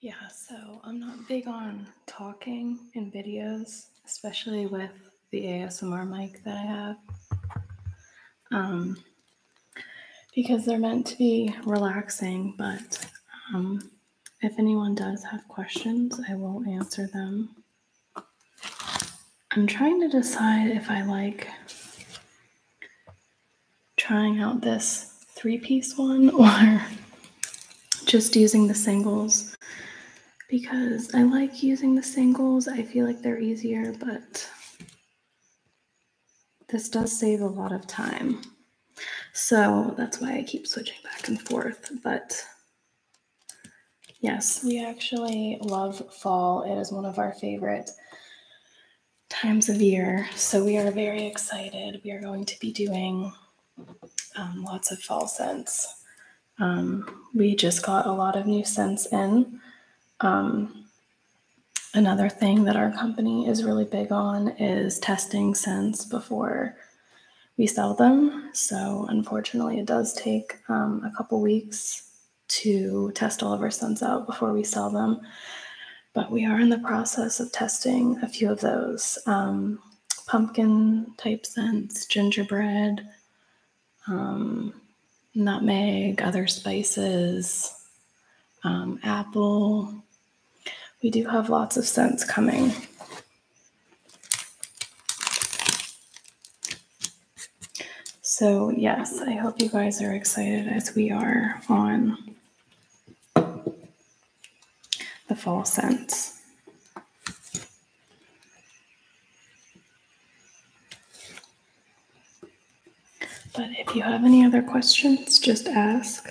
Yeah, so I'm not big on talking in videos, especially with the ASMR mic that I have, um, because they're meant to be relaxing. But um, if anyone does have questions, I will answer them. I'm trying to decide if I like trying out this three piece one or just using the singles because I like using the singles. I feel like they're easier, but this does save a lot of time. So that's why I keep switching back and forth. But yes, we actually love fall. It is one of our favorite times of year. So we are very excited. We are going to be doing um, lots of fall scents. Um, we just got a lot of new scents in. Um, another thing that our company is really big on is testing scents before we sell them. So, unfortunately, it does take a couple weeks to test all of our scents out before we sell them but we are in the process of testing a few of those um, pumpkin type scents, gingerbread, um, nutmeg, other spices, um, apple. We do have lots of scents coming. So, yes, I hope you guys are excited as we are on the false sense. But if you have any other questions, just ask.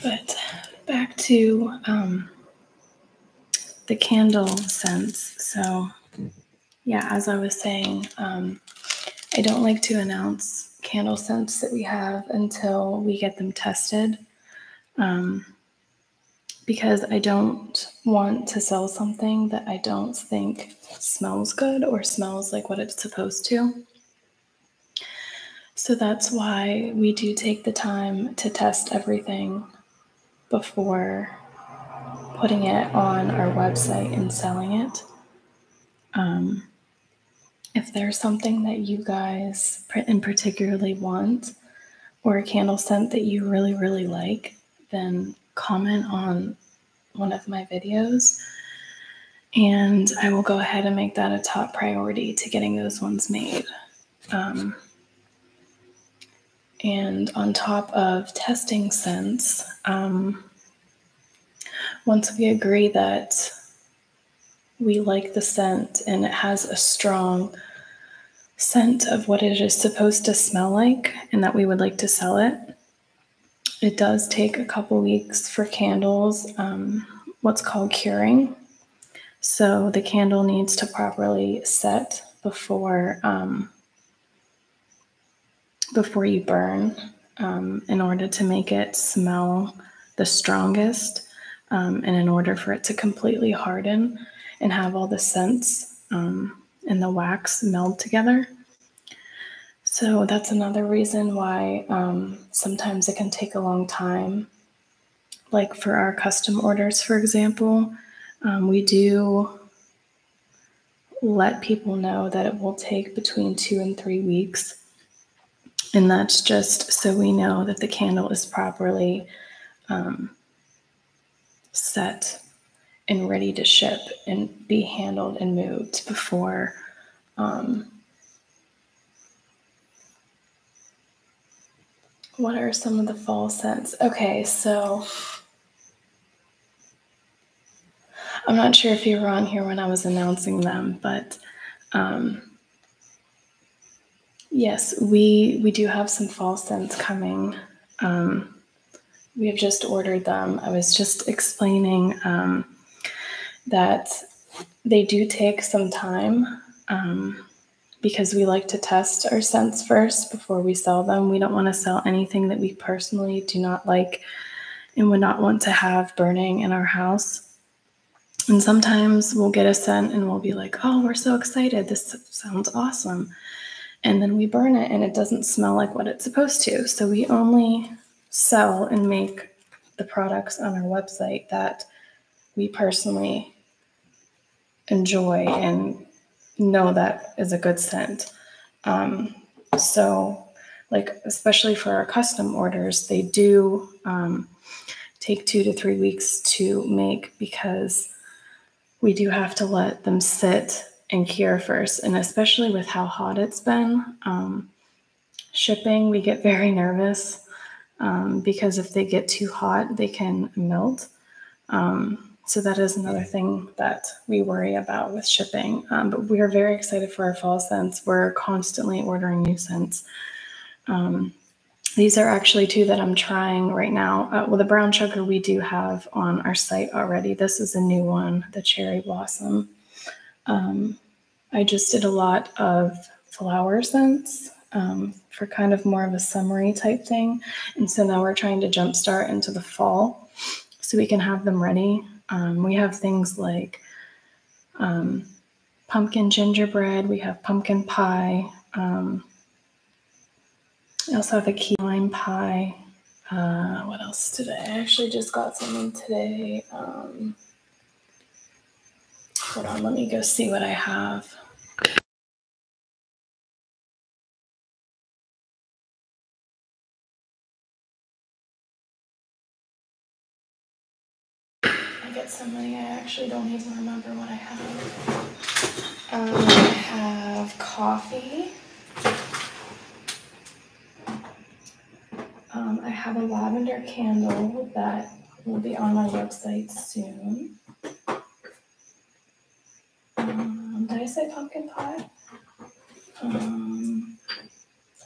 But back to um, the candle scents. So, yeah, as I was saying, um, I don't like to announce candle scents that we have until we get them tested um, because I don't want to sell something that I don't think smells good or smells like what it's supposed to. So that's why we do take the time to test everything before putting it on our website and selling it. Um, if there's something that you guys and particularly want, or a candle scent that you really, really like, then comment on one of my videos. And I will go ahead and make that a top priority to getting those ones made. Um, and on top of testing sense, um, once we agree that we like the scent and it has a strong scent of what it is supposed to smell like and that we would like to sell it, it does take a couple weeks for candles, um, what's called curing, so the candle needs to properly set before um, before you burn um, in order to make it smell the strongest um, and in order for it to completely harden and have all the scents and the wax meld together. So that's another reason why sometimes it can take a long time like for our custom orders, for example, um, we do let people know that it will take between two and three weeks. And that's just so we know that the candle is properly um, set and ready to ship and be handled and moved before um, what are some of the fall scents? Okay, so I'm not sure if you were on here when I was announcing them, but um, yes, we we do have some fall scents coming. Um, we have just ordered them. I was just explaining um, that they do take some time because we like to test our scents first before we sell them. We don't want to sell anything that we personally do not like and would not want to have burning in our house. And sometimes we'll get a scent and we'll be like, oh, we're so excited. This sounds awesome. And then we burn it and it doesn't smell like what it's supposed to. So we only sell and make the products on our website that we personally enjoy and know that is a good scent. Um, so, like, especially for our custom orders, they do um, take two to three weeks to make because we do have to let them sit and cure first. And especially with how hot it's been, um, shipping, we get very nervous. Um, because if they get too hot, they can melt. Um, so that is another thing that we worry about with shipping. Um, but we are very excited for our fall scents. We're constantly ordering new scents. these are actually two that I'm trying right now. Uh, well, the brown sugar we do have on our site already. This is a new one, the cherry blossom. I just did a lot of flower scents um, for kind of more of a summery type thing. And so now we're trying to jumpstart into the fall so we can have them ready. Um, we have things like um, pumpkin gingerbread, we have pumpkin pie. I also have a key lime pie. Uh, what else did I actually just got something today. hold on, let me go see what I have. I get so many, I actually don't even remember what I have. Um, I have coffee. Um, I have a lavender candle that will be on my website soon. Um, did I say pumpkin pie? Um,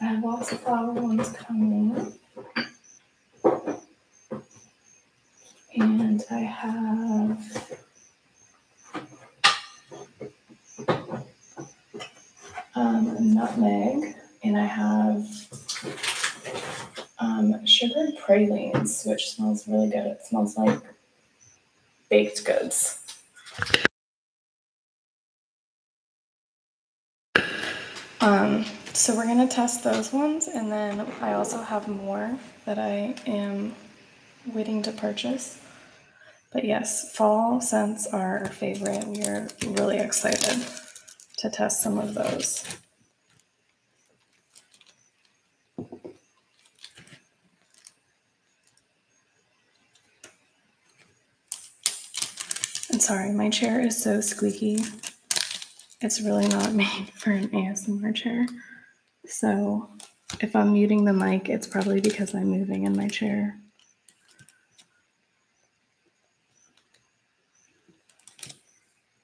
I have lots of flower ones coming. And I have um, nutmeg, and I have um, sugared pralines, which smells really good. It smells like baked goods. Um, so we're going to test those ones, and then I also have more that I am waiting to purchase. But yes, fall scents are our favorite. We are really excited to test some of those. I'm sorry, my chair is so squeaky. It's really not made for an ASMR chair. So if I'm muting the mic, it's probably because I'm moving in my chair.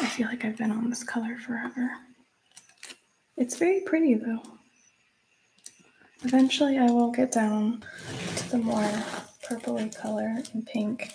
I feel like I've been on this color forever. It's very pretty though. Eventually I will get down to the more purpley color and pink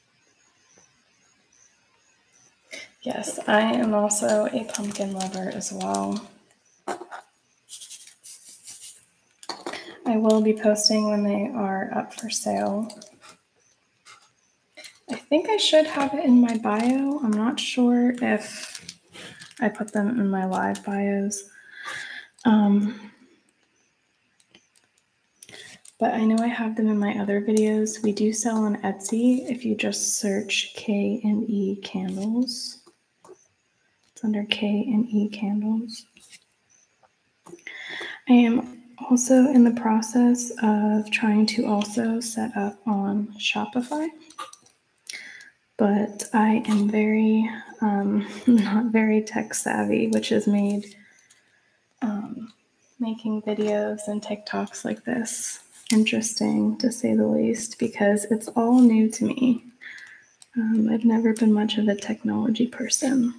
Yes, I am also a pumpkin lover as well. I will be posting when they are up for sale. I think I should have it in my bio. I'm not sure if I put them in my live bios. Um, but I know I have them in my other videos. We do sell on Etsy if you just search K and E candles. It's under K and E candles. I am also in the process of trying to also set up on Shopify, but I am very um, not very tech savvy, which has made um, making videos and TikToks like this interesting, to say the least, because it's all new to me. Um, I've never been much of a technology person,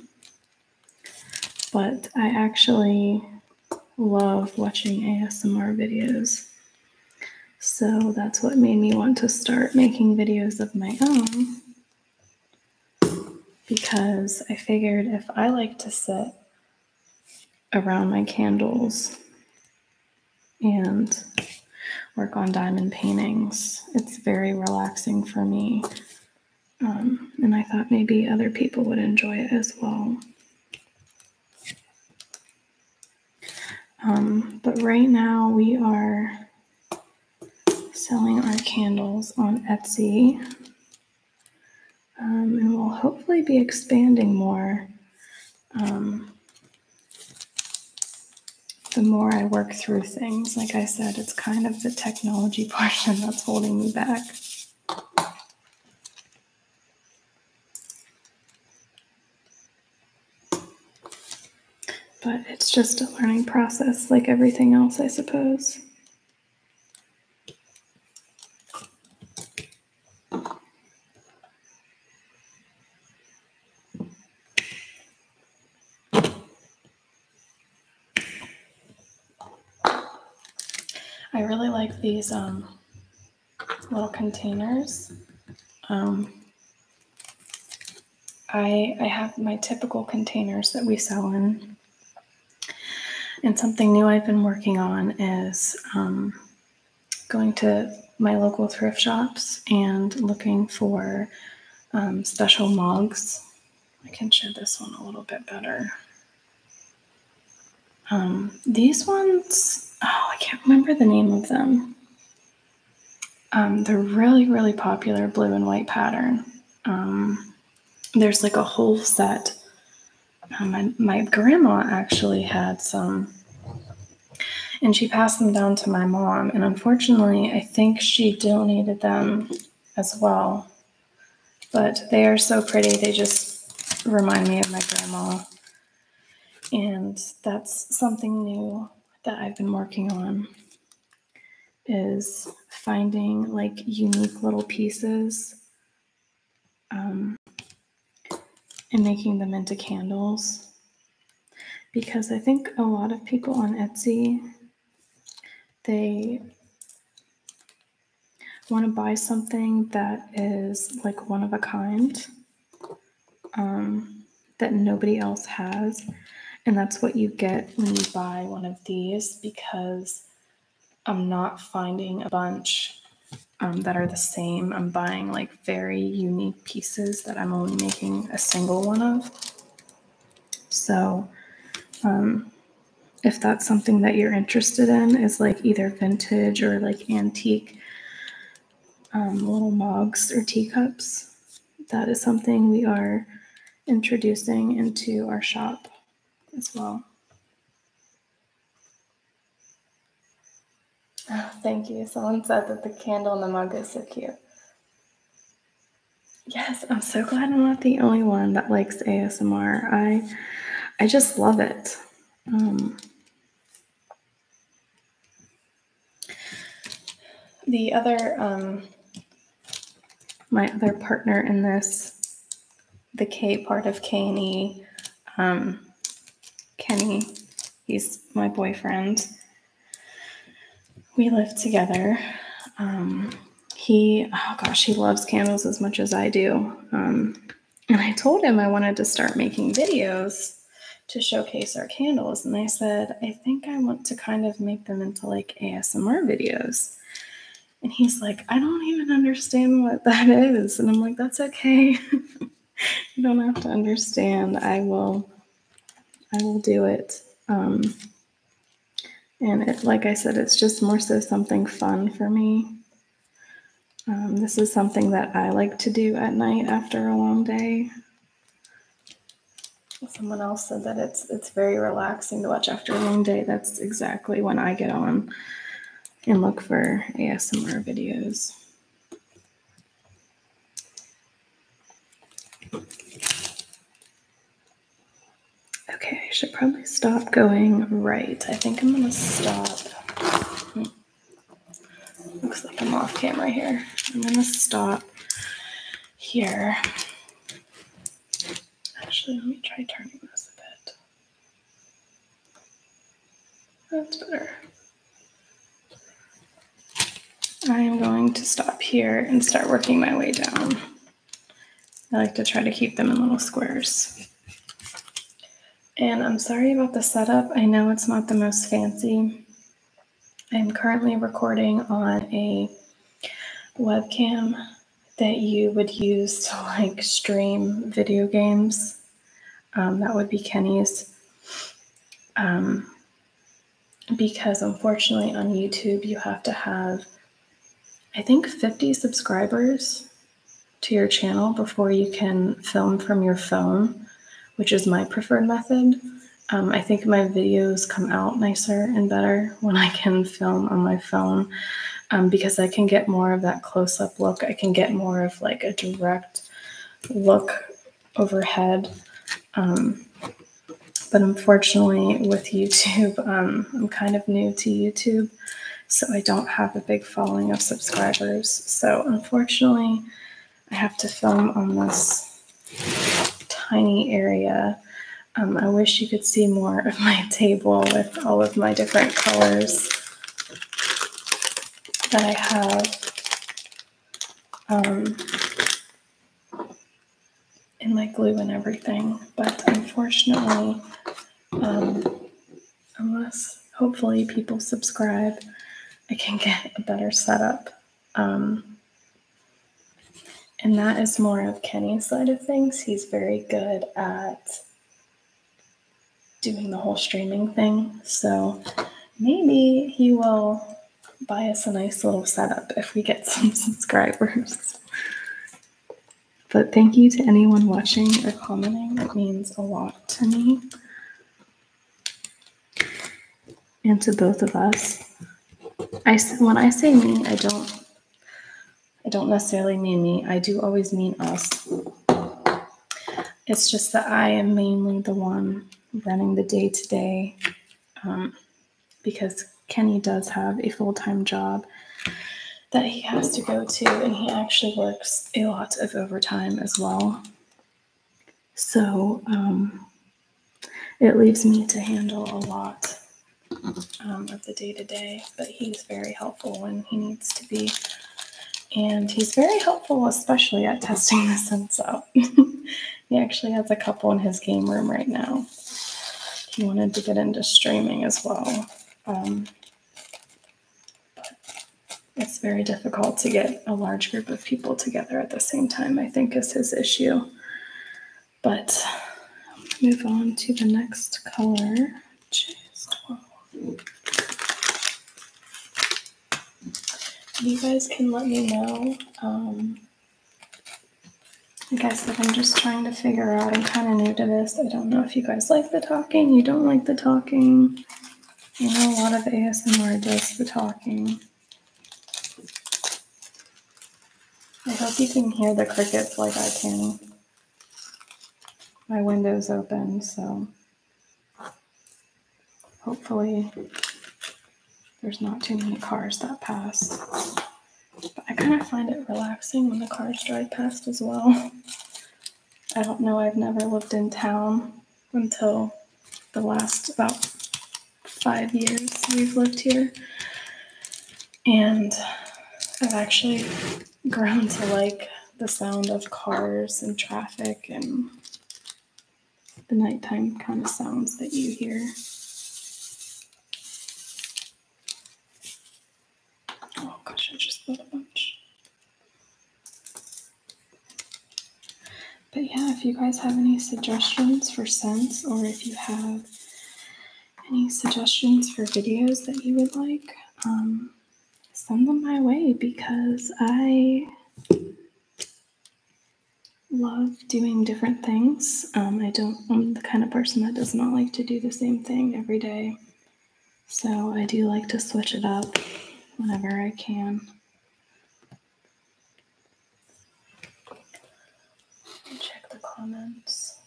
but I actually love watching ASMR videos. So that's what made me want to start making videos of my own because I figured if I like to sit around my candles and work on diamond paintings. It's very relaxing for me. Um, and I thought maybe other people would enjoy it as well. Um, but right now we are selling our candles on Etsy. Um, and we'll hopefully be expanding more um, the more I work through things. Like I said, it's kind of the technology portion that's holding me back. But it's just a learning process, like everything else, I suppose. I really like these um, little containers. Um, I, I have my typical containers that we sell in and something new I've been working on is um, going to my local thrift shops and looking for um, special mugs. I can show this one a little bit better. Um, these ones, oh, I can't remember the name of them. they're really, really popular blue and white pattern. there's like a whole set uh, my, grandma actually had some and she passed them down to my mom and unfortunately i think she donated them as well but they are so pretty they just remind me of my grandma and that's something new that i've been working on is finding like unique little pieces um, and making them into candles because I think a lot of people on Etsy they want to buy something that is like one of a kind um, that nobody else has and that's what you get when you buy one of these because I'm not finding a bunch um, that are the same. I'm buying like very unique pieces that I'm only making a single one of. So, um, if that's something that you're interested in, is like either vintage or like antique um, little mugs or teacups, that is something we are introducing into our shop as well. Oh, thank you. Someone said that the candle in the mug is so cute. Yes, I'm so glad I'm not the only one that likes ASMR. I I just love it. Um, the other um, my other partner in this, the K part of K and E, um, Kenny, he's my boyfriend. We live together. Um, he, oh gosh, he loves candles as much as I do. Um, and I told him I wanted to start making videos to showcase our candles. And I said, I think I want to kind of make them into like ASMR videos. And he's like, I don't even understand what that is. And I'm like, that's okay. you don't have to understand. I will, I will do it. Um, and it, like I said, it's just more so something fun for me. Um, this is something that I like to do at night after a long day. Someone else said that it's it's very relaxing to watch after a long day. That's exactly when I get on and look for ASMR videos. Okay, I should probably stop going right. I think I'm gonna stop. Looks like I'm off camera here. I'm gonna stop here. Actually, let me try turning this a bit. That's better. I am going to stop here and start working my way down. I like to try to keep them in little squares. And I'm sorry about the setup. I know it's not the most fancy. I'm currently recording on a webcam that you would use to like stream video games. Um, that would be Kenny's. Um, because unfortunately on YouTube, you have to have, I think, 50 subscribers to your channel before you can film from your phone, which is my preferred method. Um, I think my videos come out nicer and better when I can film on my phone because I can get more of that close up look. I can get more of like a direct look overhead. Um, but unfortunately with YouTube, um, I'm kind of new to YouTube, so I don't have a big following of subscribers. So unfortunately, I have to film on this tiny area. Um, I wish you could see more of my table with all of my different colors that I have um, in my glue and everything. But unfortunately, um, unless hopefully people subscribe, I can get a better setup. Um, and that is more of Kenny's side of things. He's very good at doing the whole streaming thing. So maybe he will buy us a nice little setup if we get some subscribers. But thank you to anyone watching or commenting. It means a lot to me and to both of us. I when I say me, I don't I don't necessarily mean me, I do always mean us. It's just that I am mainly the one running the day to day um, because Kenny does have a full time job that he has to go to, and he actually works a lot of overtime as well. So um, it leaves me to handle a lot um, of the day to day, but he's very helpful when he needs to be. And he's very helpful, especially at testing the sense out. he actually has a couple in his game room right now. He wanted to get into streaming as well. Um, it's very difficult to get a large group of people together at the same time, I think, is his issue. But move on to the next color. You guys can let me know. Um, I guess that I'm just trying to figure out. I'm kind of new to this. I don't know if you guys like the talking, you don't like the talking. You know, a lot of ASMR does the talking. I hope you can hear the crickets like I can my windows open, so hopefully there's not too many cars that pass. But I kind of find it relaxing when the cars drive past as well. I don't know, I've never lived in town until the last about five years we've lived here. And I've actually grown to like the sound of cars and traffic and the nighttime kind of sounds that you hear. Oh gosh, I just thought a bunch. But yeah, if you guys have any suggestions for scents or if you have any suggestions for videos that you would like, um, send them my way because I love doing different things. Um, I don't, I'm the kind of person that does not like to do the same thing every day. So I do like to switch it up whenever I can. Check the comments.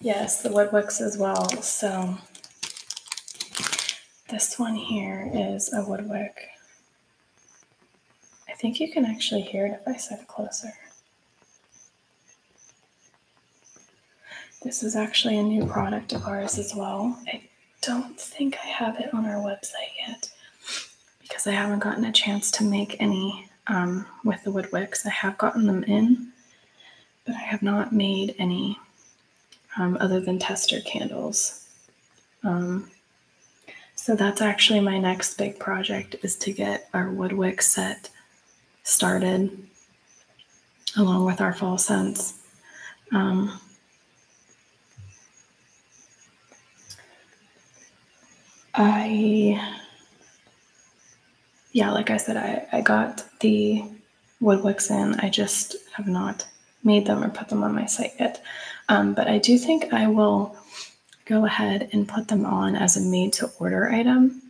Yes, the woodwicks as well. So this one here is a woodwick. I think you can actually hear it if I set it closer. This is actually a new product of ours as well. I don't think I have it on our website yet because I haven't gotten a chance to make any um, with the wood wicks. I have gotten them in, but I have not made any um, other than tester candles. Um, so that's actually my next big project is to get our wood wick set started along with our fall scents. I yeah, like I said, I, I got the woodwicks in. I just have not made them or put them on my site yet. Um, but I do think I will go ahead and put them on as a made to order item.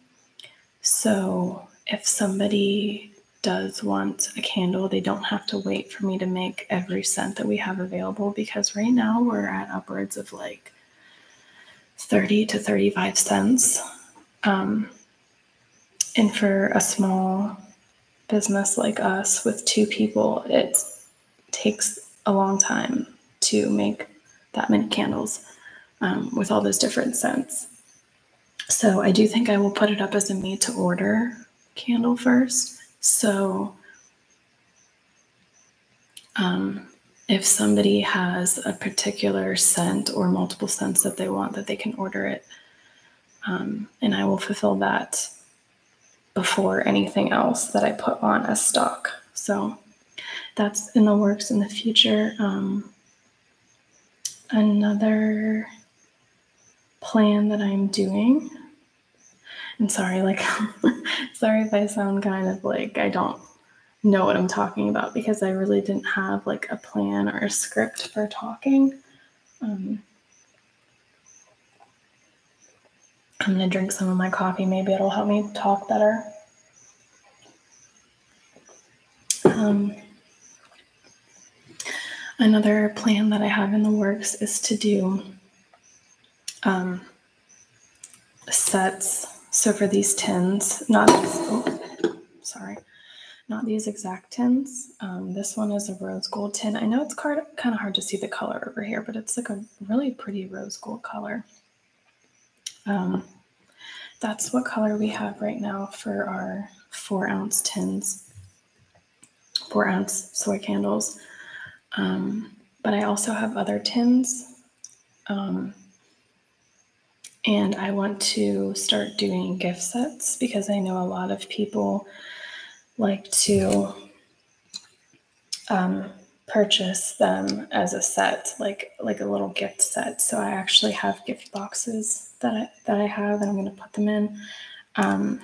So if somebody does want a candle, they don't have to wait for me to make every scent that we have available because right now we're at upwards of like 30 to 35 cents. Um, and for a small business like us with two people, it takes a long time to make that many candles um, with all those different scents. So I do think I will put it up as a me to order candle first. So um, if somebody has a particular scent or multiple scents that they want, that they can order it. Um, and I will fulfill that before anything else that I put on a stock. So that's in the works in the future. Um, another plan that I'm doing. I'm sorry, like, sorry if I sound kind of like I don't know what I'm talking about because I really didn't have like a plan or a script for talking. Um, I'm gonna drink some of my coffee. Maybe it'll help me talk better. Um, another plan that I have in the works is to do um, sets. So for these tins, not these, oh, sorry, not these exact tins. Um, this one is a rose gold tin. I know it's kind of hard to see the color over here, but it's like a really pretty rose gold color. Um, that's what color we have right now for our four ounce tins, four ounce soy candles. but I also have other tins um, and I want to start doing gift sets because I know a lot of people like to um, purchase them as a set, like like a little gift set. So I actually have gift boxes that I, that I have, and I'm going to put them in. Um,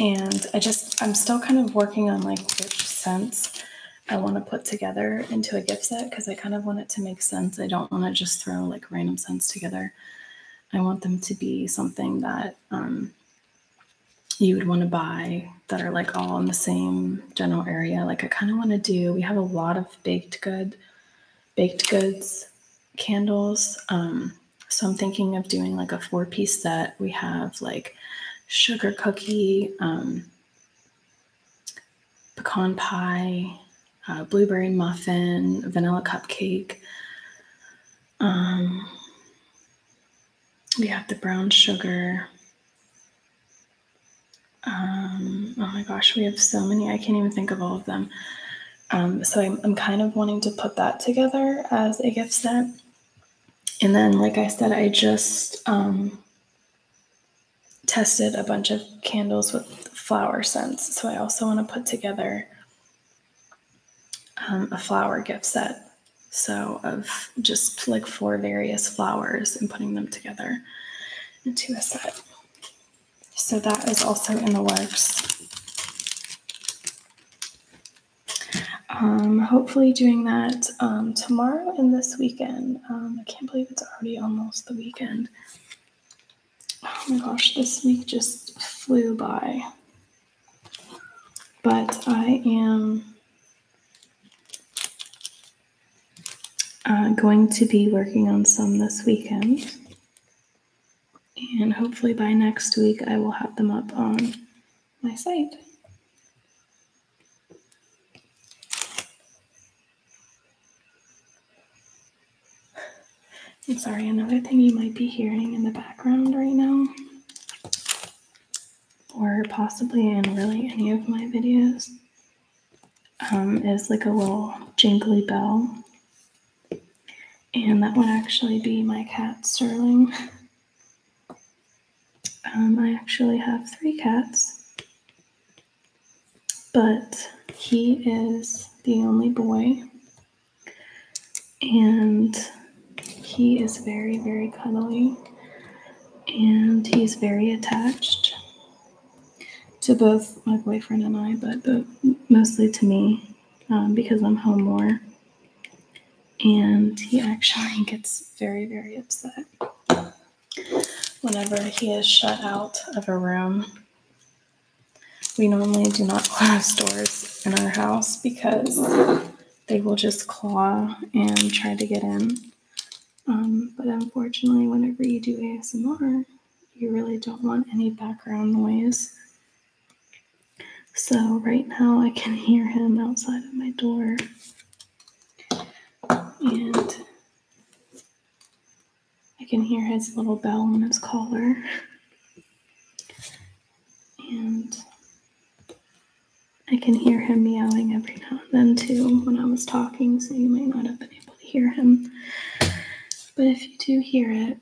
and I just I'm still kind of working on like which scents I want to put together into a gift set because I kind of want it to make sense. I don't want to just throw like random scents together. I want them to be something that um, you would want to buy that are like all in the same general area. Like I kind of want to do, we have a lot of baked good, baked goods candles. Um, so I'm thinking of doing like a four piece set. We have like sugar cookie, um, pecan pie, uh, blueberry muffin, vanilla cupcake. Um, we have the brown sugar. Um, oh my gosh, we have so many. I can't even think of all of them. Um, so I'm, kind of wanting to put that together as a gift set. And then, like I said, I just tested a bunch of candles with flower scents. So I also want to put together um, a flower gift set. So of just like four various flowers and putting them together into a set. So that is also in the works. Um, hopefully doing that um, tomorrow and this weekend. Um, I can't believe it's already almost the weekend. Oh my gosh, this week just flew by. But I am uh, going to be working on some this weekend. And hopefully by next week, I will have them up on my site. I'm sorry, another thing you might be hearing in the background right now, or possibly in really any of my videos, um, is like a little jingly bell. And that would actually be my cat Sterling. Um, I actually have three cats, but he is the only boy, and he is very, very cuddly, and he's very attached to both my boyfriend and I, but, mostly to me um, because I'm home more. And he actually gets very, very upset whenever he is shut out of a room. We normally do not close doors in our house because they will just claw and try to get in. Um, but unfortunately, whenever you do ASMR, you really don't want any background noise. So, right now, I can hear him outside of my door and I can hear his little bell on his collar. And I can hear him meowing every now and then too when I was talking, so you might not have been able to hear him. But if you do hear it,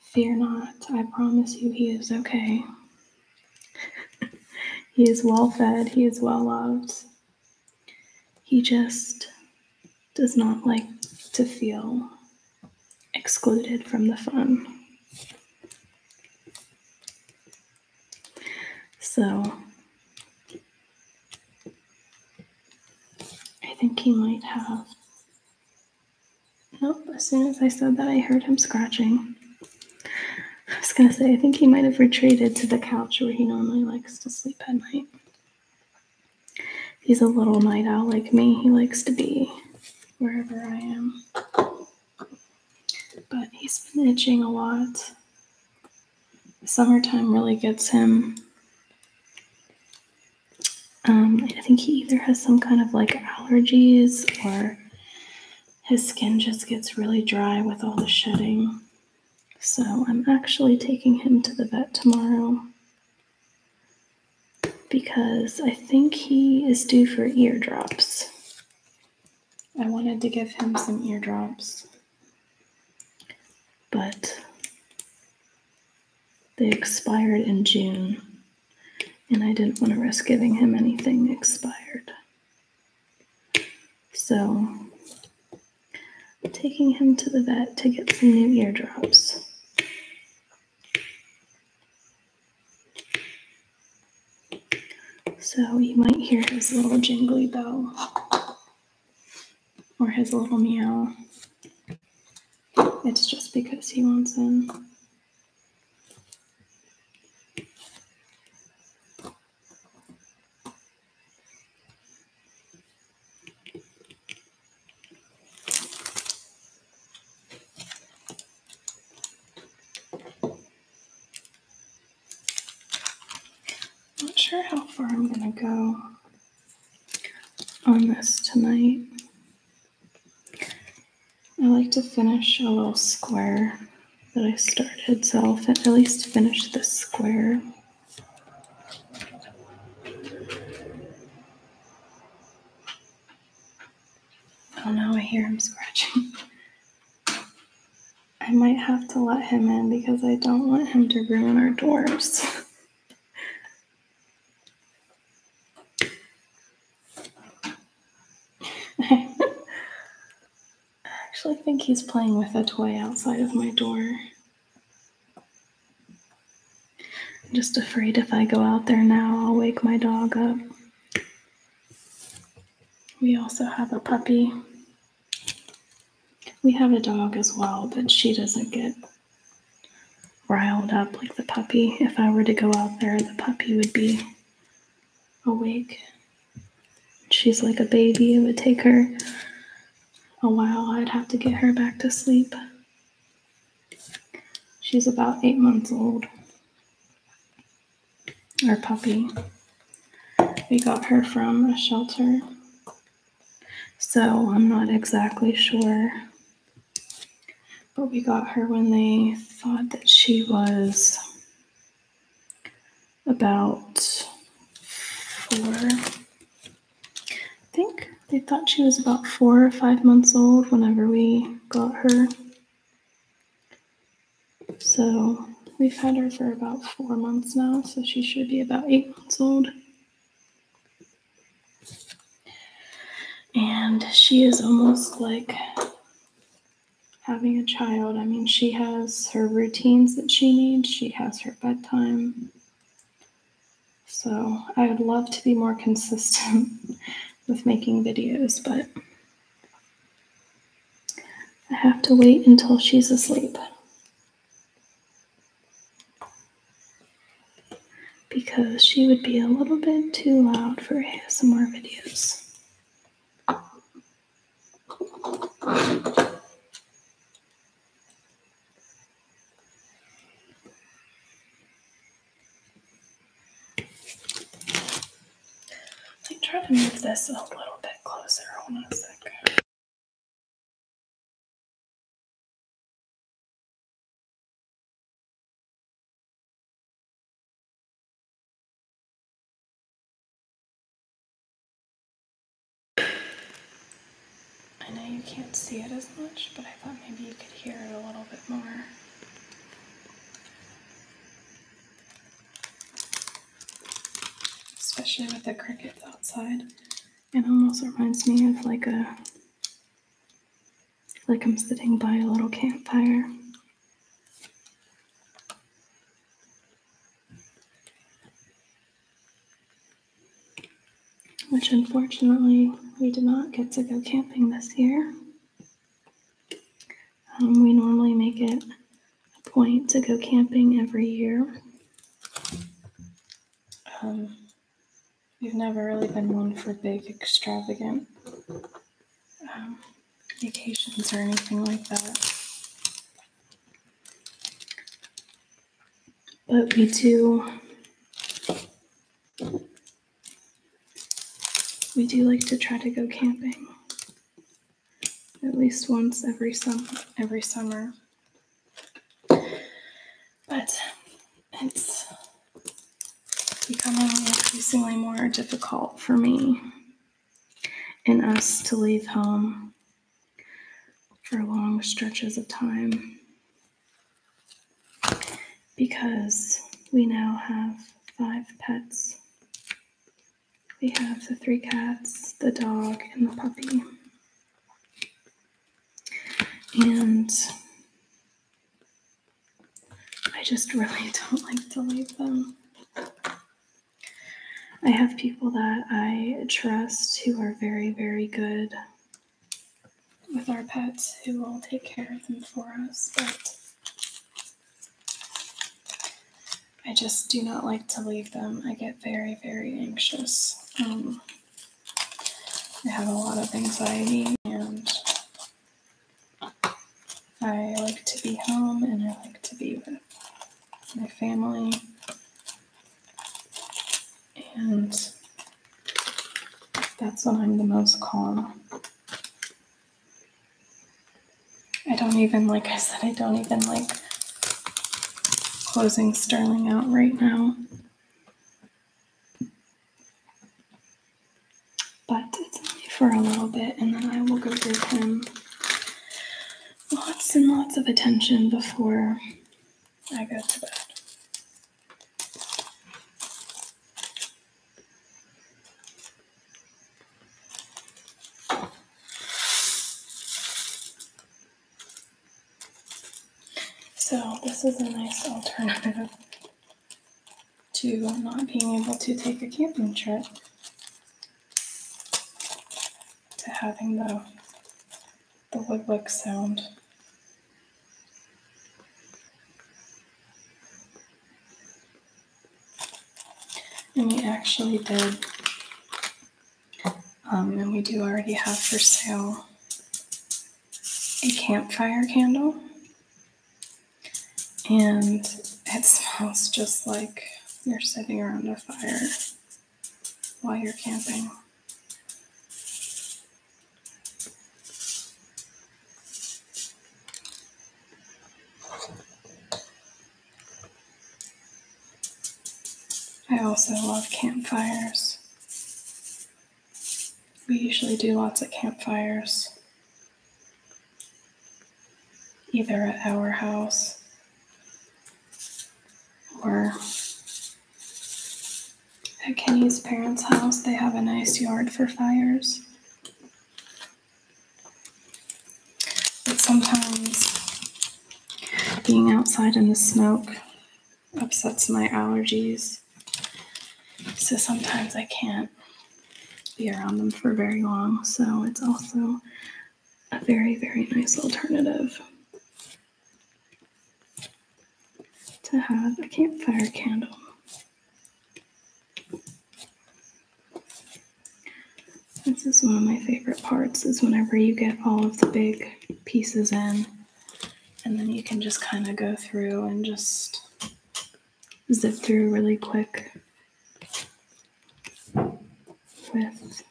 fear not. I promise you, he is okay he is well fed, he is well loved. He just does not like to feel excluded from the fun. So I think he might have. Nope, as soon as I said that, I heard him scratching. I was gonna say, I think he might have retreated to the couch where he normally likes to sleep at night. He's a little night owl like me. He likes to be wherever I am. But he's been itching a lot. Summertime really gets him. Um, I think he either has some kind of like allergies or his skin just gets really dry with all the shedding. So I'm actually taking him to the vet tomorrow because I think he is due for eardrops. I wanted to give him some eardrops, but they expired in June, and I didn't want to risk giving him anything expired. So, taking him to the vet to get some new eardrops. So you might hear his little jingly bell or his little meow. It's just because he wants them. Not sure how far I'm going to go on this tonight. I like to finish a little square that I started, so I'll at least finish this square. Oh no, I hear him scratching. I might have to let him in because I don't want him to ruin our doors. I actually think he's playing with a toy outside of my door. I'm just afraid if I go out there now, I'll wake my dog up. We also have a puppy. We have a dog as well, but she doesn't get riled up like the puppy. If I were to go out there, the puppy would be awake. She's like a baby. It would take her a while. I'd have to get her back to sleep. She's about eight months old. Our puppy. We got her from a shelter. So I'm not exactly sure. But we got her when they thought that she was about four. I think they thought she was about four or five months old whenever we got her. So we've had her for about four months now, so she should be about eight months old. And she is almost like having a child. I mean, she has her routines that she needs, she has her bedtime. So I would love to be more consistent with making videos, but I have to wait until she's asleep. Because she would be a little bit too loud for some more videos. Let me try to move this a little bit closer. Hold on a second. I know you can't see it as much, but I thought maybe you could hear it a little bit more. Especially with the crickets outside. It almost reminds me of like a like I'm sitting by a little campfire which unfortunately we did not get to go camping this year. Um, we normally make it a point to go camping every year. Um, we've never really been one for big, extravagant um, vacations or anything like that. But we do we do like to try to go camping at least once every sum every summer. But it's becoming increasingly more difficult for me in us to leave home for long stretches of time because we now have five pets. We have the three cats, the dog, and the puppy. And I just really don't like to leave them. I have people that I trust who are very, very good with our pets who will take care of them for us, but I just do not like to leave them. I get very, very anxious. Um, I have a lot of anxiety and I like to be home and I like to be with my family. And that's when I'm the most calm. I don't even, like I said, I don't even like closing Sterling out right now but it's only for a little bit, and then I will give him lots and lots of attention before I go to bed. So, this is a nice alternative to not being able to take a camping trip to having the, the woodwick sound. And we actually did, um, and we do already have for sale a campfire candle and it smells just like you're sitting around a fire while you're camping. I also love campfires. We usually do lots of campfires either at our house or at Kenny's parents' house. They have a nice yard for fires. But sometimes being outside in the smoke upsets my allergies. So sometimes I can't be around them for very long. So it's also a very, very nice alternative to have a campfire candle. This is one of my favorite parts is whenever you get all of the big pieces in and then you can just kind of go through and just zip through really quick with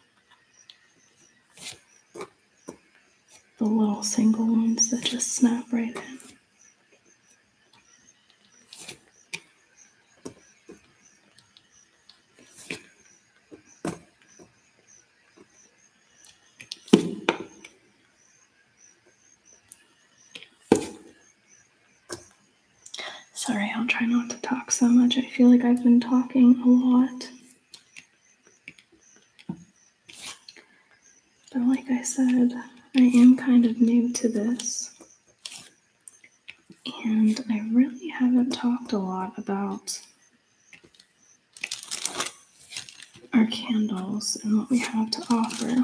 the little single ones that just snap right in. Sorry, I'll try not to talk so much. I feel like I've been talking a lot. But like I said, I am kind of new to this. And I really haven't talked a lot about our candles and what we have to offer.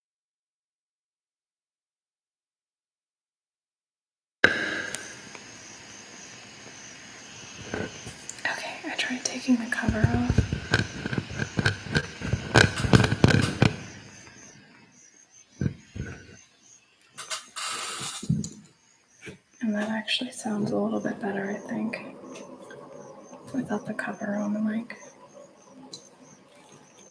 Okay, I tried taking the cover off. And that actually sounds a little bit better, I think, without the cover on the mic.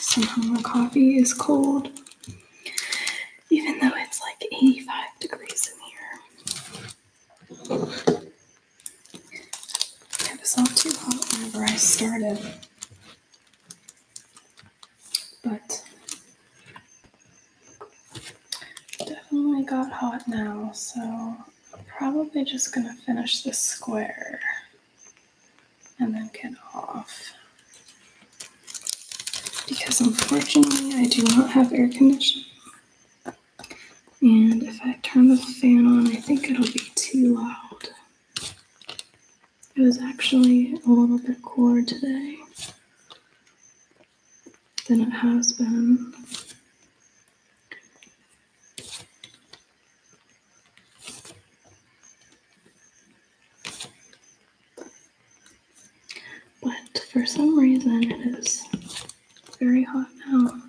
Somehow the coffee is cold, even though it's like 85 degrees in here. It was all too hot whenever I started. But definitely got hot now, so probably just gonna finish this square and then get off. Because unfortunately, I do not have air conditioning. And if I turn the fan on, I think it'll be too loud. It was actually a little bit cooler today than it has been. But for some reason, it is very hot now.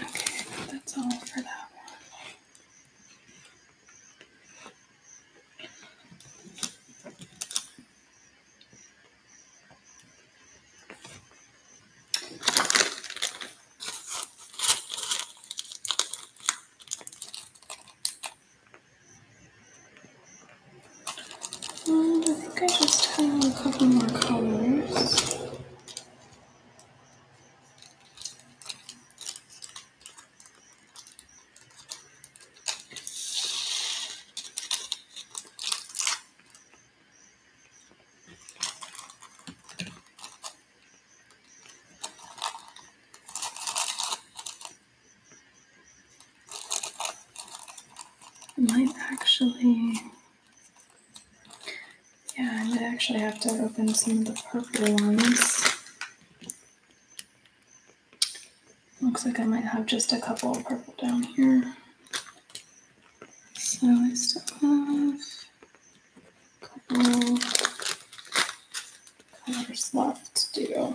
Okay, that's all for that one. And mm, I think I just have a couple more colors. I might actually, yeah, I actually have to open some of the purple ones. Looks like I might have just a couple of purple down here. So I still have a couple colors left to do.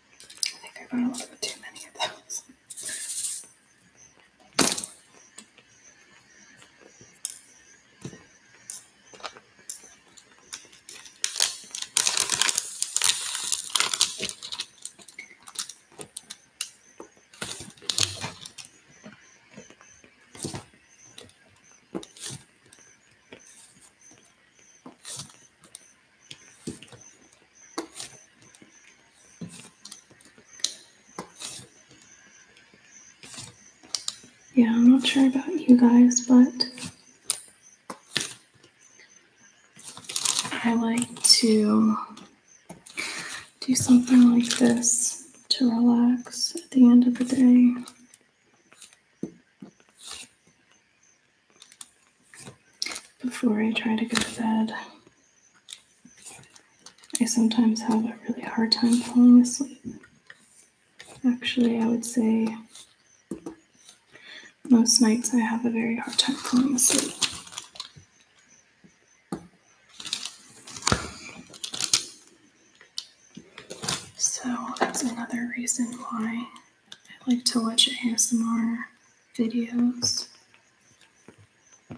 I think I bought a too many of those. Yeah, I'm not sure about you guys, but I like to do something like this to relax at the end of the day before I try to go to bed. I sometimes have a really hard time falling asleep. Actually, I would say most nights I have a very hard time falling asleep. So that's another reason why I like to watch ASMR videos. I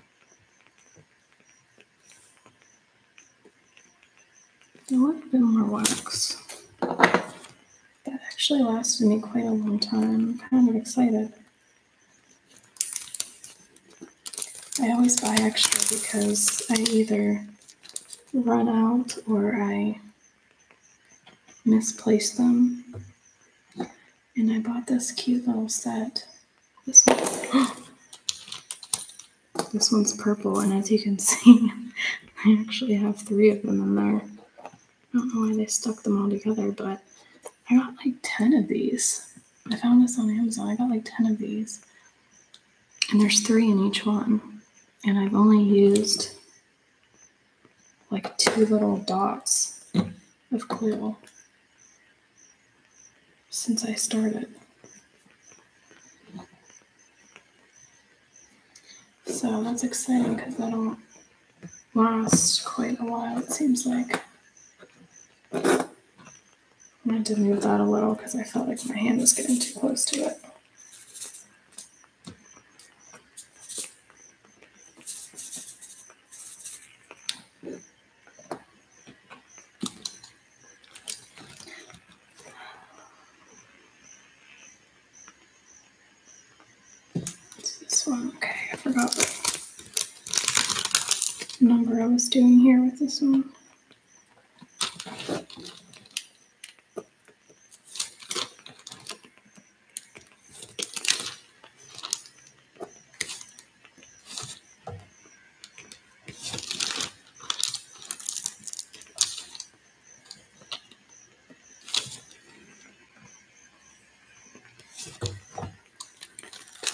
A little bit more wax. That actually lasted me quite a long time. I'm kind of excited. I always buy extra because I either run out or I misplaced them. And I bought this cute little set. This one's purple, and as you can see, I actually have three of them in there. I don't know why they stuck them all together, but I got like 10 of these. I found this on Amazon. I got like 10 of these. And there's three in each one. And I've only used like two little dots of glue since I started. So that's exciting because that'll last quite a while, it seems like. I had to move that a little because I felt like my hand was getting too close to it. This one. Okay, I forgot the number I was doing here with this one.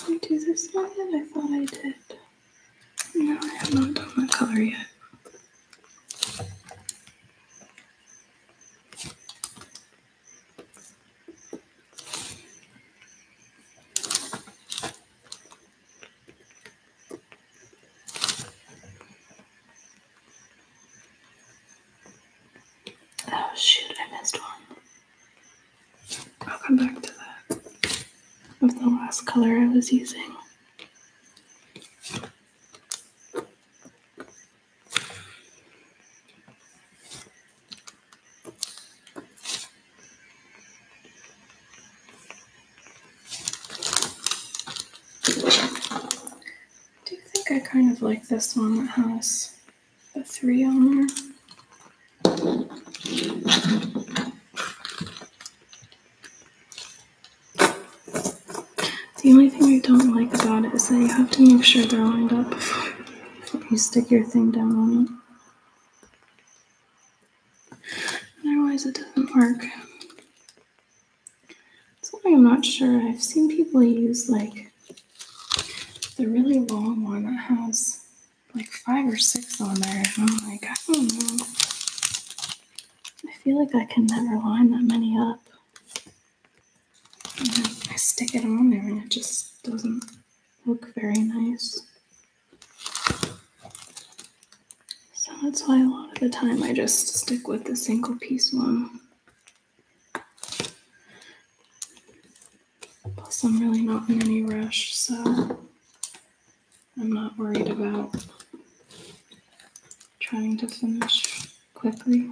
Did I do this one yet? I thought I did. No, I have not done my color yet. Oh shoot, I missed one. I'll come back to that. Of the last color I was using do you think I kind of like this one that has the three on there. The only thing I don't like about it is that you have to make sure they're lined up before you stick your thing down on it. Otherwise, it doesn't work. Something I'm not sure. I've seen people use like the really long one that has like five or six on there. And I'm like, I don't know. I feel like I can never line that many up. I stick it on there and it just doesn't look very nice. So that's why a lot of the time I just stick with the single piece one. Plus, I'm really not in any rush, so I'm not worried about trying to finish quickly.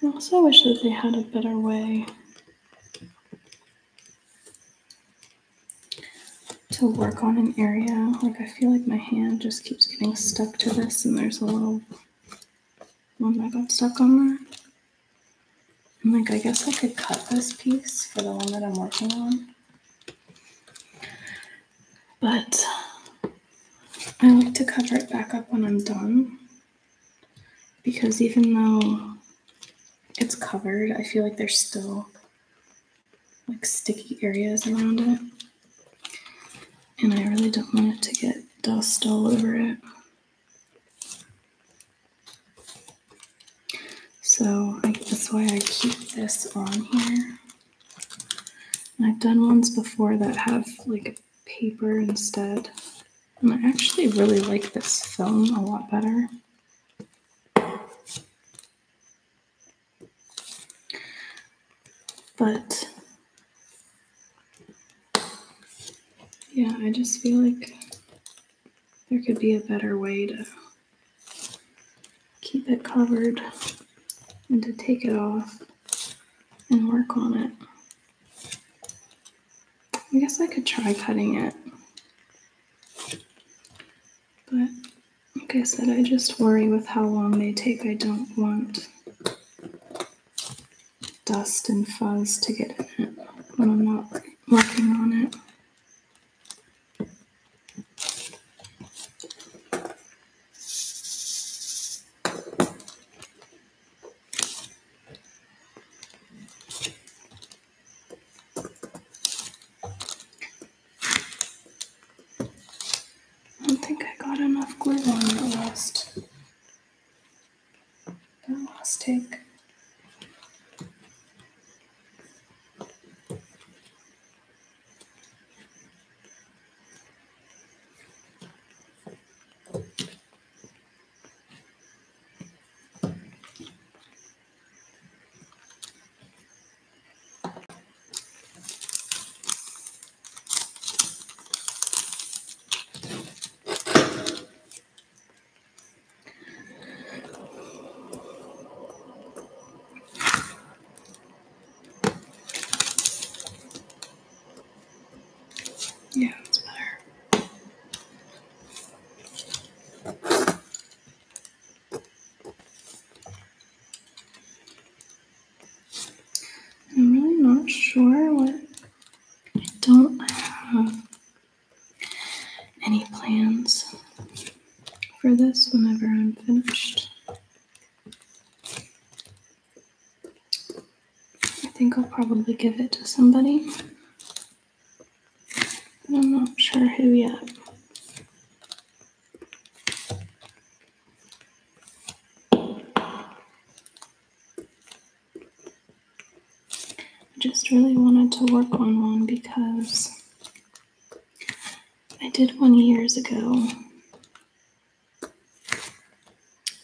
I also wish that they had a better way to work on an area. Like I feel like my hand just keeps getting stuck to this and there's a little one that got stuck on there. like, I guess I could cut this piece for the one that I'm working on. But I like to cover it back up when I'm done because even though it's covered, I feel like there's still like sticky areas around it. And I really don't want it to get dust all over it. So that's why I keep this on here. I've done ones before that have like paper instead. I actually really like this film a lot better. But yeah, I just feel like there could be a better way to keep it covered and to take it off and work on it. I guess I could try cutting it. But like I said, I just worry with how long they take. I don't want dust and fuzz to get in it when I'm not working on it. I don't think I got enough glue on the last, the last take. Yeah, that's I'm really not sure what I don't have any plans for this whenever I'm finished. I think I'll probably give it to somebody. I'm not sure who yet. I just really wanted to work on one because I did one years ago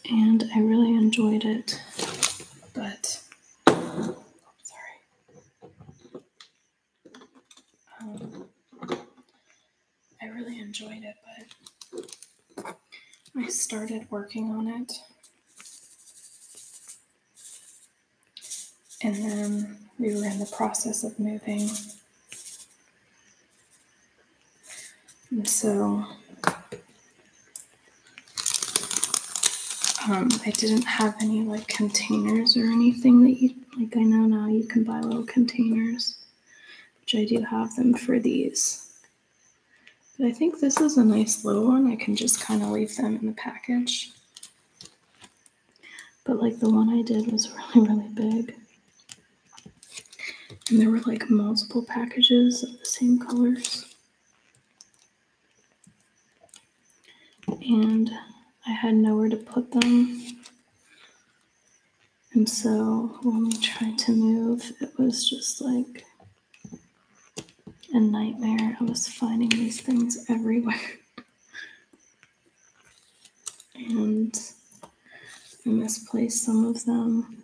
and I really enjoyed it, but Oh, sorry. Um, I really enjoyed it, but I started working on it. And then we were in the process of moving. And so um, I didn't have any like containers or anything that you like. I know now you can buy little containers, which I do have them for these. But I think this is a nice little one. I can just kind of leave them in the package. But like the one I did was really, really big. And there were like multiple packages of the same colors and I had nowhere to put them. And so when we tried to move, it was just like a nightmare. I was finding these things everywhere. and I misplaced some of them.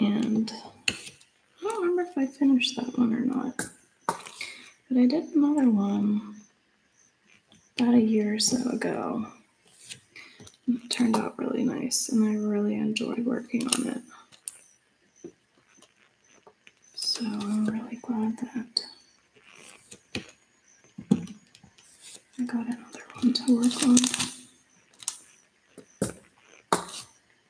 And I don't remember if I finished that one or not. But I did another one about a year or so ago. It turned out really nice, and I really enjoyed working on it. So I'm really glad that I got another one to work on.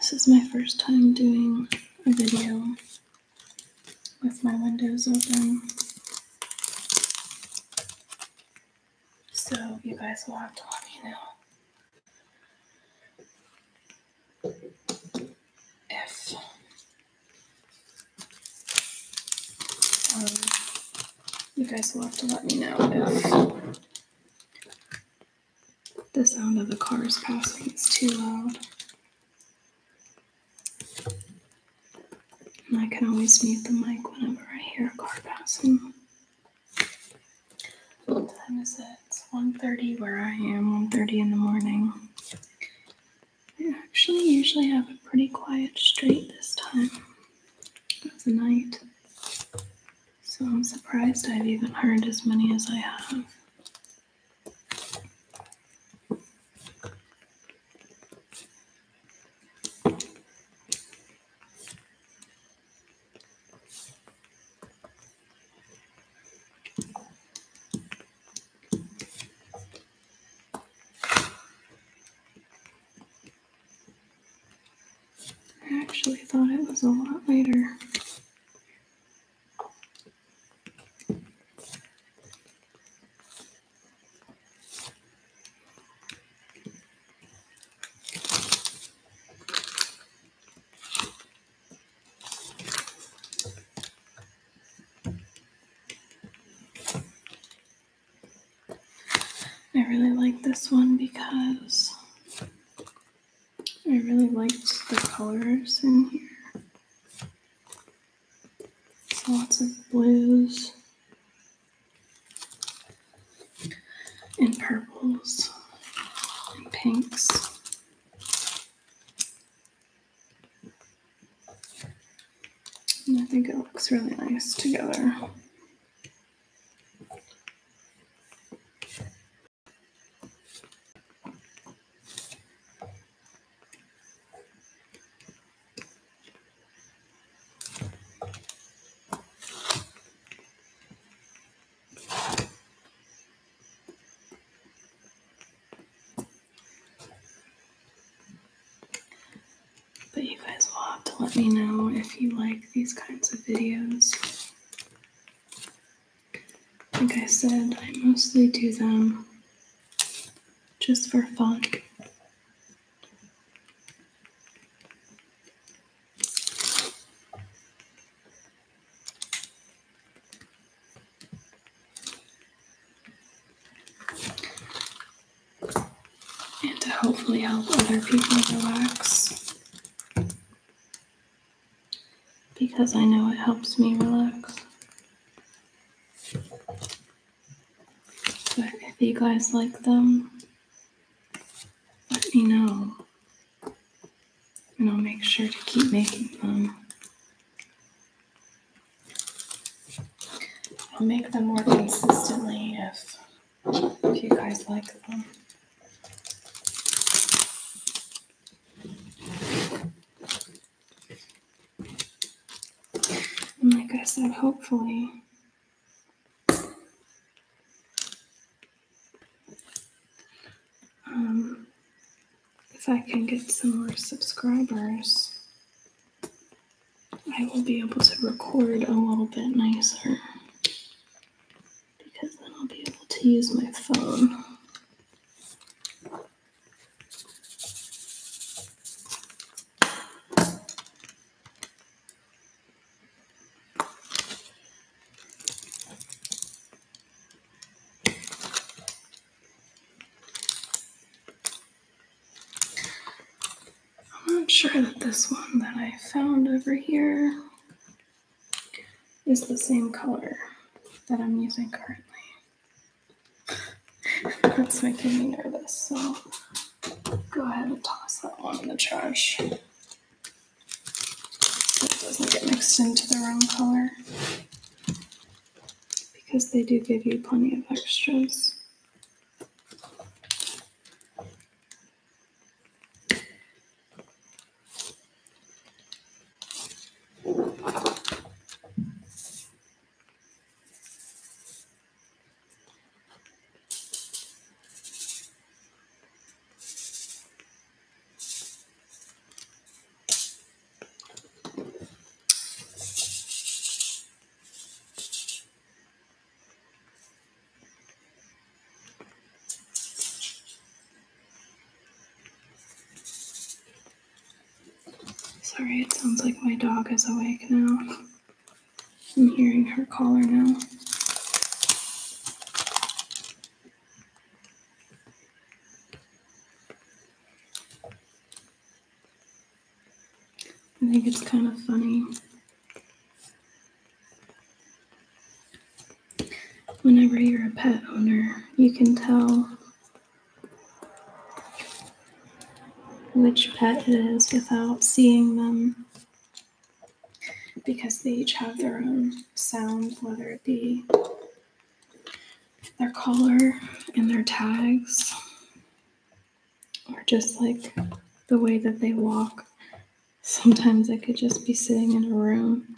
This is my first time doing a video with my windows open. So you guys will have to let me know. if um, you guys will have to let me know if the sound of the cars passing is too loud. I can always mute the mic whenever I hear a car passing. What time is it? It's 1.30 where I am, 1.30 in the morning. I actually usually have a pretty quiet street this time of the night, so I'm surprised I've even heard as many as I have. I actually thought it was a lot later. I really like this one because I really liked the colors in here. lots of blues and purples and pinks. And I think it looks really nice together. But you guys will have to let me know if you like these kinds of videos. Like I said, I mostly do them just for fun and to hopefully help other people relax because I know it helps me relax. But if you guys like them, let me know. And I'll make sure to keep making them I'll make them more consistently if, if you guys like them. like I said, hopefully, um, if I can get some more subscribers, I will be able to record a little bit nicer because then I'll be able to use my phone. I'm not sure that this one that I found over here is the same color that I'm using currently. That's making me nervous, so go ahead and toss that one in the trash it doesn't get mixed into the wrong color because they do give you plenty of extras. Sorry, it sounds like my dog is awake now. I'm hearing her collar now. I think it's kind of funny whenever you're a pet owner, you can tell which pet it is without seeing them because they each have their own sound, whether it be their collar and their tags or just like the way that they walk. Sometimes I could just be sitting in a room.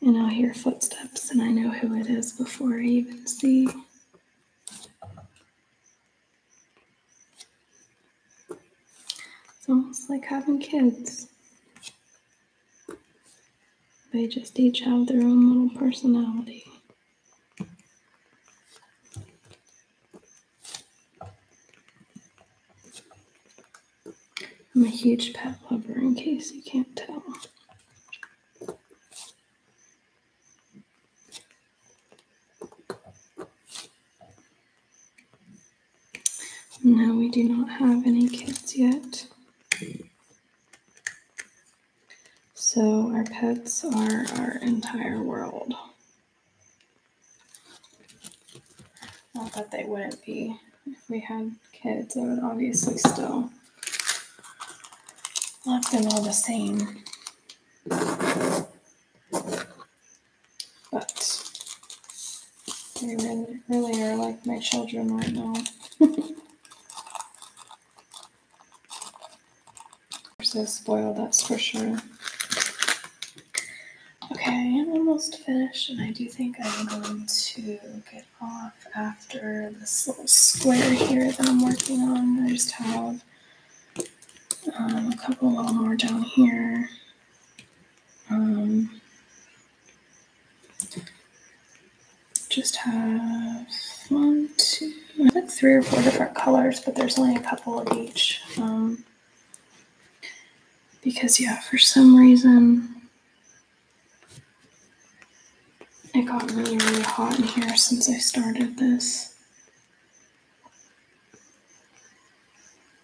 And I'll hear footsteps, and I know who it is before I even see. It's almost like having kids. They just each have their own little personality. I'm a huge pet lover, in case you can't tell. No, we do not have any kids yet. So our pets are our entire world. Not that they wouldn't be. If we had kids, I would obviously still love them all the same. But they really, really are like my children right now. They're so spoiled, that's for sure. Okay, I am almost finished, and I do think I'm going to get off after this little square here that I'm working on. I just have um, a couple little more down here. Um, just have one, two, like three or four different colors, but there's only a couple of each. Um, because, yeah, for some reason, it got really, really hot in here since I started this.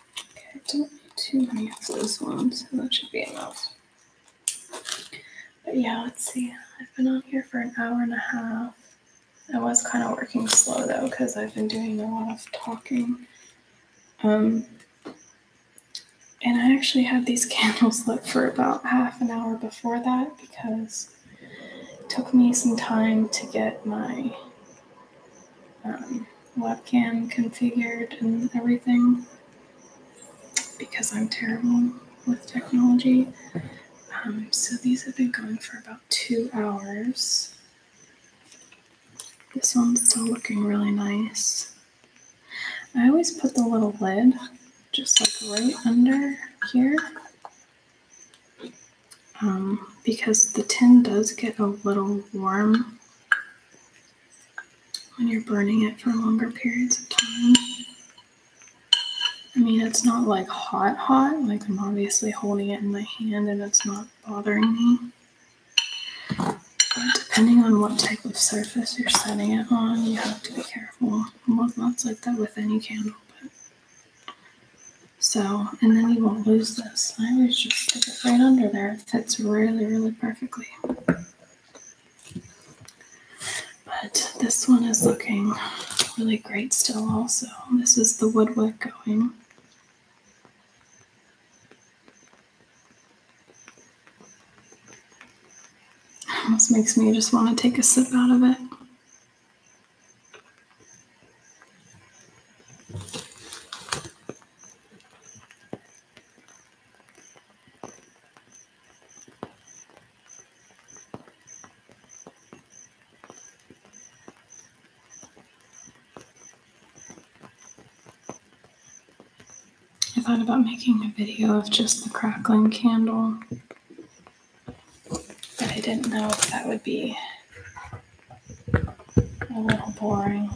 Okay, I don't need too many of those ones, so that should be enough. But yeah, let's see. I've been on here for an hour and a half. I was kind of working slow though, because I've been doing a lot of talking. Um, and I actually had these candles lit for about half an hour before that because it took me some time to get my um, webcam configured and everything because I'm terrible with technology. Um, so these have been going for about two hours. This one's still looking really nice. I always put the little lid just like right under here um, because the tin does get a little warm when you're burning it for longer periods of time. I mean, it's not like hot, hot. Like, I'm obviously holding it in my hand and it's not bothering me. depending on what type of surface you're setting it on, you have to be careful. Well, that's like that with any candle. But... So, and then you won't lose this. I always just stick it right under there fits really, really perfectly. But this one is looking really great still also. This is the woodwork going. This makes me just want to take a sip out of it. I thought about making a video of just the crackling candle, but I didn't know if that would be a little boring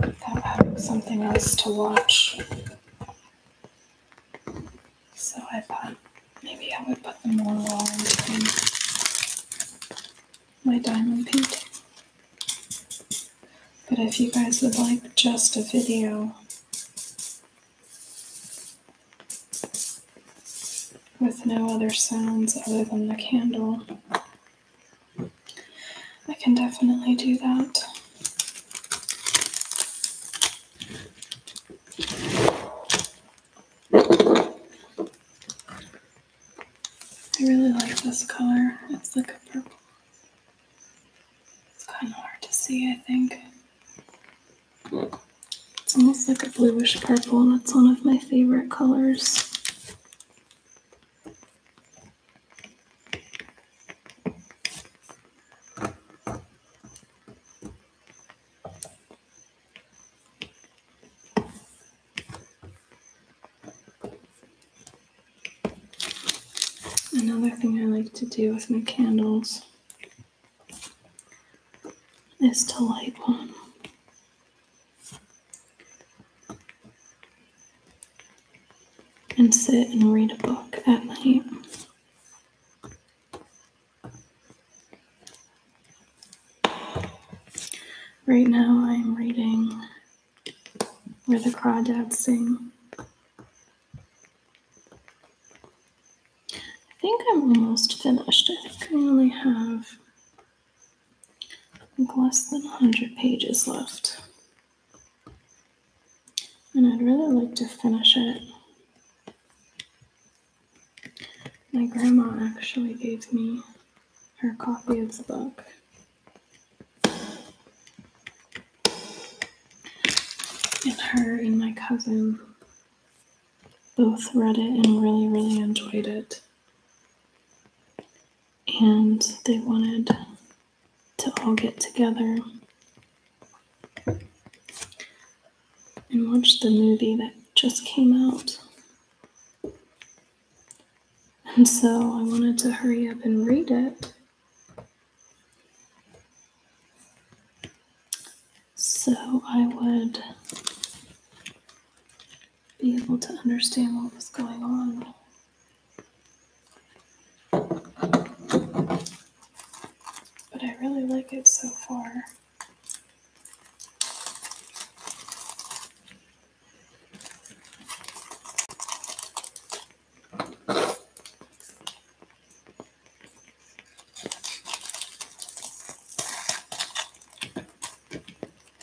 without having something else to watch. So I thought maybe I would put the more wall in between my diamond paint. But if you guys would like just a video with no other sounds other than the candle, I can definitely do that. I really like this color. It's like a purple. It's kind of hard to see, I think. It's almost like a bluish purple, and it's one of my favorite colors. Another thing I like to do with my candles is to light one and sit and read a book at night. Right now, I'm reading Where the Crawdads Sing. I think I'm almost finished. I think I only have less than 100 pages left. And I'd really like to finish it. My grandma actually gave me her copy of the book. And her and my cousin both read it and really, really enjoyed it and they wanted to all get together and watch the movie that just came out. And so I wanted to hurry up and read it. So I would be able to understand what was going on. But I really like it so far.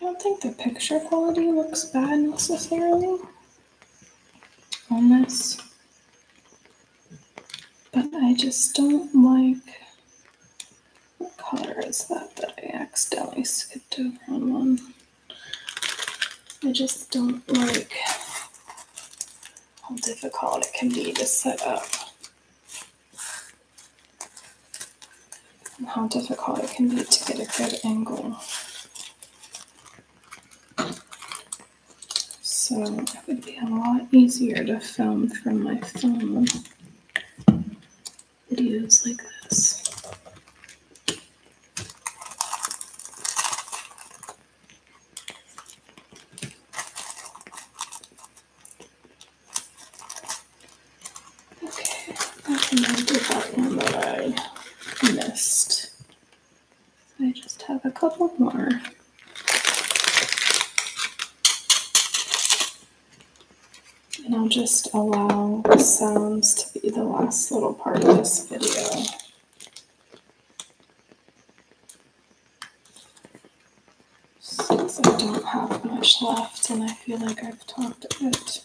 I don't think the picture quality looks bad necessarily on this, but I just don't like what color is that that I accidentally skipped over I just don't like how difficult it can be to set up how difficult it can be to get a good angle. So it would be a lot easier to film from my phone videos like this. Okay, I can do that one that I missed. So I just have a couple more. And I'll just allow the sounds to be the last little part of this video. Since I don't have much left and I feel like I've talked a bit.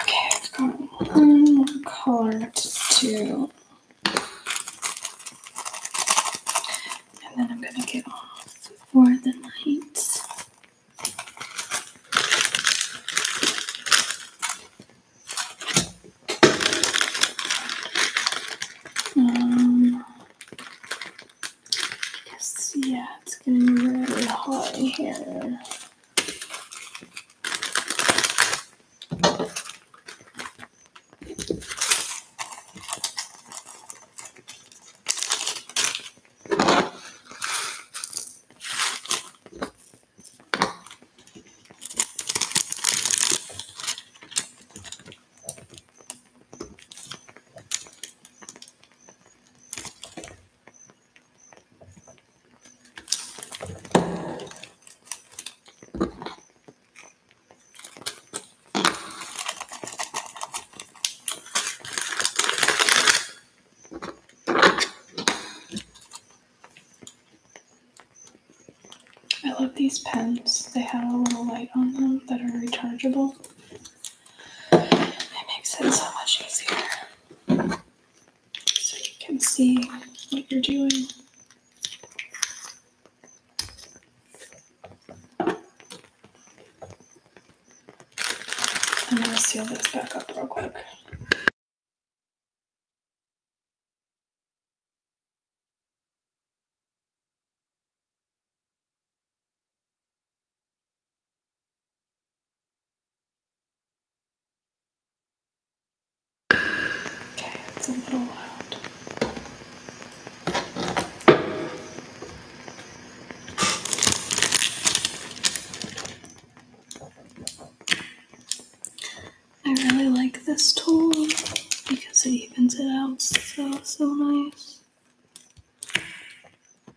Okay, I've got one more color to do. And then I'm going to get off for the night. Um, because, yeah, it's getting really hot in here. I love these pens. They have a little light on them that are rechargeable. It makes it so much easier. So you can see what you're doing. I'm going to seal this back up real quick. Okay, it's a little loud. I really like this tool because it evens it out so, so nice.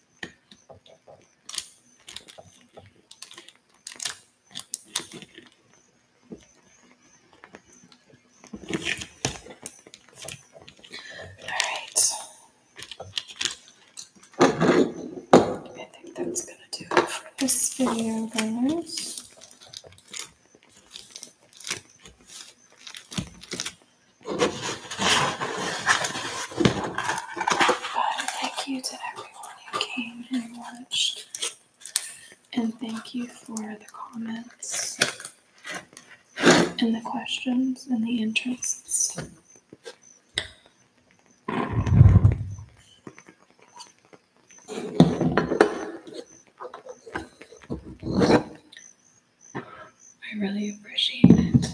I think that's gonna do it for this video guys. But thank you to everyone who came and watched. And thank you for the comments and the questions and the interests. I really appreciate it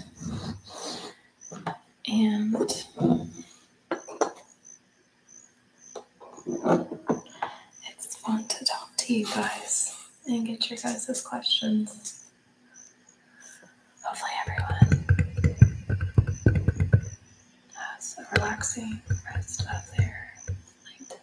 and it's fun to talk to you guys and get your guys' questions. Hopefully, everyone has a relaxing rest of their night.